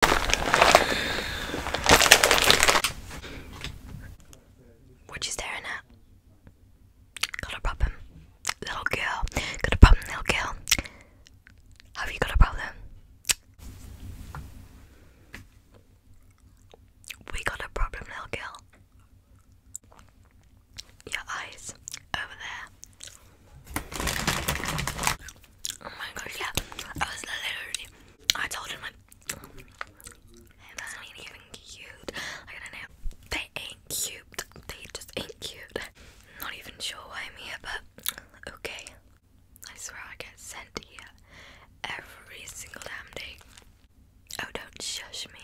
What you staring at? Got a problem, little girl. Got a problem, little girl. Have you got a problem? We got a problem, little girl. Your eyes over there. Oh my gosh! yeah. I was literally. I told him, like, hey, not even cute. I don't know. They ain't cute. They just ain't cute. not even sure why I'm here, but okay. I swear I get sent here every single damn day. Oh, don't shush me.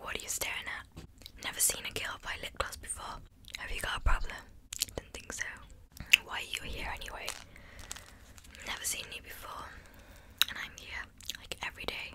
What are you staring at? Never seen a girl buy lip gloss before. Have you got a problem? Didn't think so. Why are you here anyway? Never seen you before, and I'm here like every day.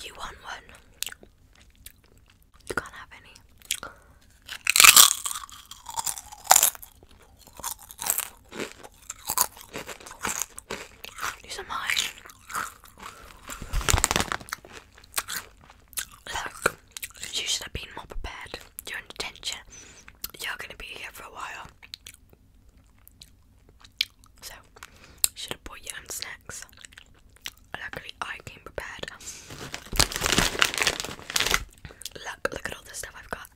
You won one? You can't have any. Look, you should have been more prepared. You're You're going to be here for a while. So, should have brought your own snacks. Luckily, I came prepared. Look, look at all this stuff I've got.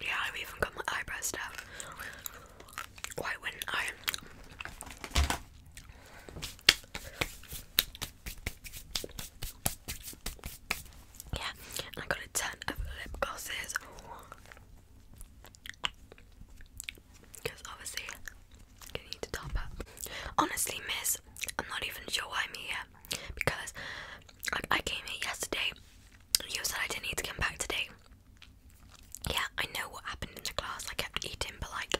Yeah, I've even got my eyebrow stuff. Why wouldn't I? Yeah, I got a ton of lip glosses because obviously you need to top up. Honestly, miss, I'm not even sure why I'm here. Because like I came here yesterday. You said I didn't need to come back today. Yeah, I know what happened in the class. I kept eating, but like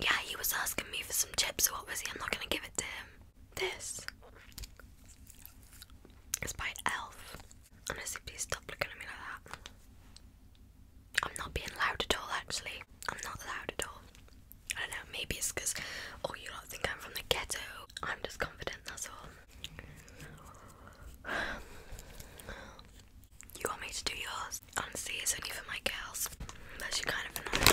Yeah, he was asking me for some chips, so obviously I'm not gonna give it to him. This is by Elf. Honestly, please stop looking at me like that. I'm not being loud at all, actually. I'm not loud at all. I don't know, maybe it's because, oh, you lot think I'm from the ghetto. I'm just confident, that's all. You want me to do yours? Honestly, it's only for my girls. That's you kind of annoying.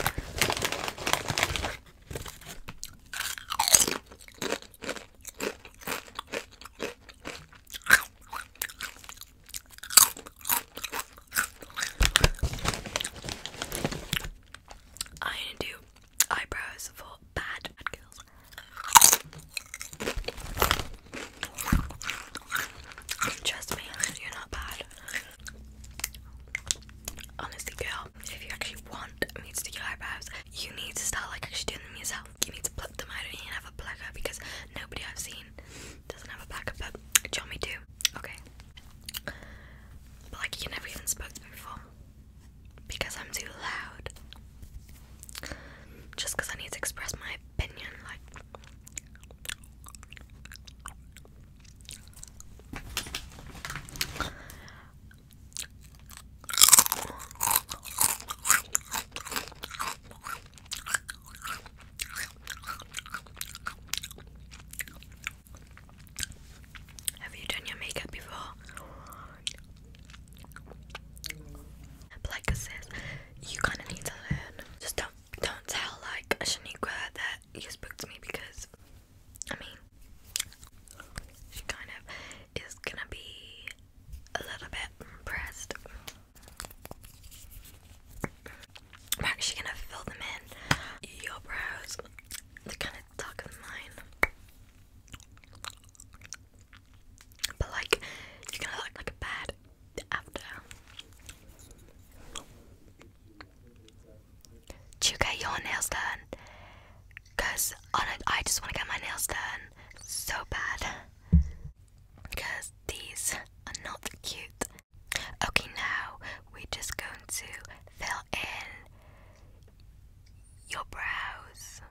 I need to do eyebrows for bad girls. Trust me, you're not bad. Honestly, girl, if you actually want me to do your eyebrows, you need to start like actually doing them yourself yourself. You need to pluck them out. I don't even have a plucker because nobody I've seen doesn't have a plucker, but Johnny do. Okay. But like you never even spoke me before. Because I'm too loud. Just because I need to express my opinion, like have you done your makeup before? Like I says, you kind of need to learn. Just don't don't tell like Shaniqua that you spoke to me because I mean she kind of is gonna be a little bit impressed. I'm actually gonna fill them in. Your brows, they're kind of darker than mine. But like, you're gonna look like a bad after. Do you get your nails done? Cause I just want to get my nails done so bad. Cause these are not cute. Okay, now we're just going to fill in your brows.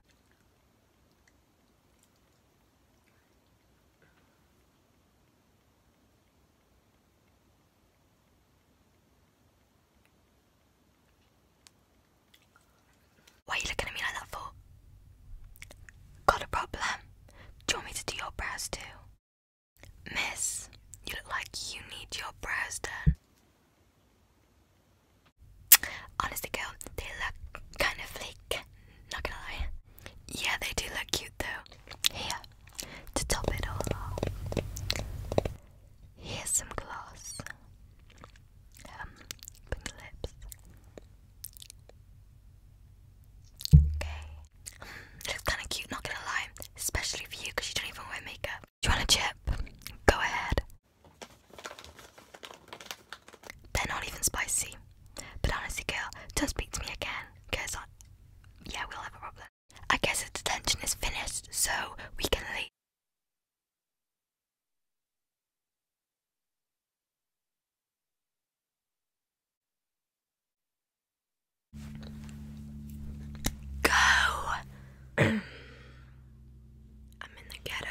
Why are you looking at me like that for? Got a problem? Do you want me to do your brows too? Miss, you look like you need your brows done. Honestly, girl, they look kind of fake. Not gonna lie. Yeah, they do look cute though. Here, to top it all Here's some glass. Um, bring the lips. Okay. Looks kind of cute, not gonna lie. Especially for you, because you don't even wear makeup. Do you want a chip? Go ahead. They're not even spicy. But honestly, girl, don't speak to me again, because yeah, we'll have a problem. I guess the detention is finished, so we can leave. Go! I'm in the ghetto.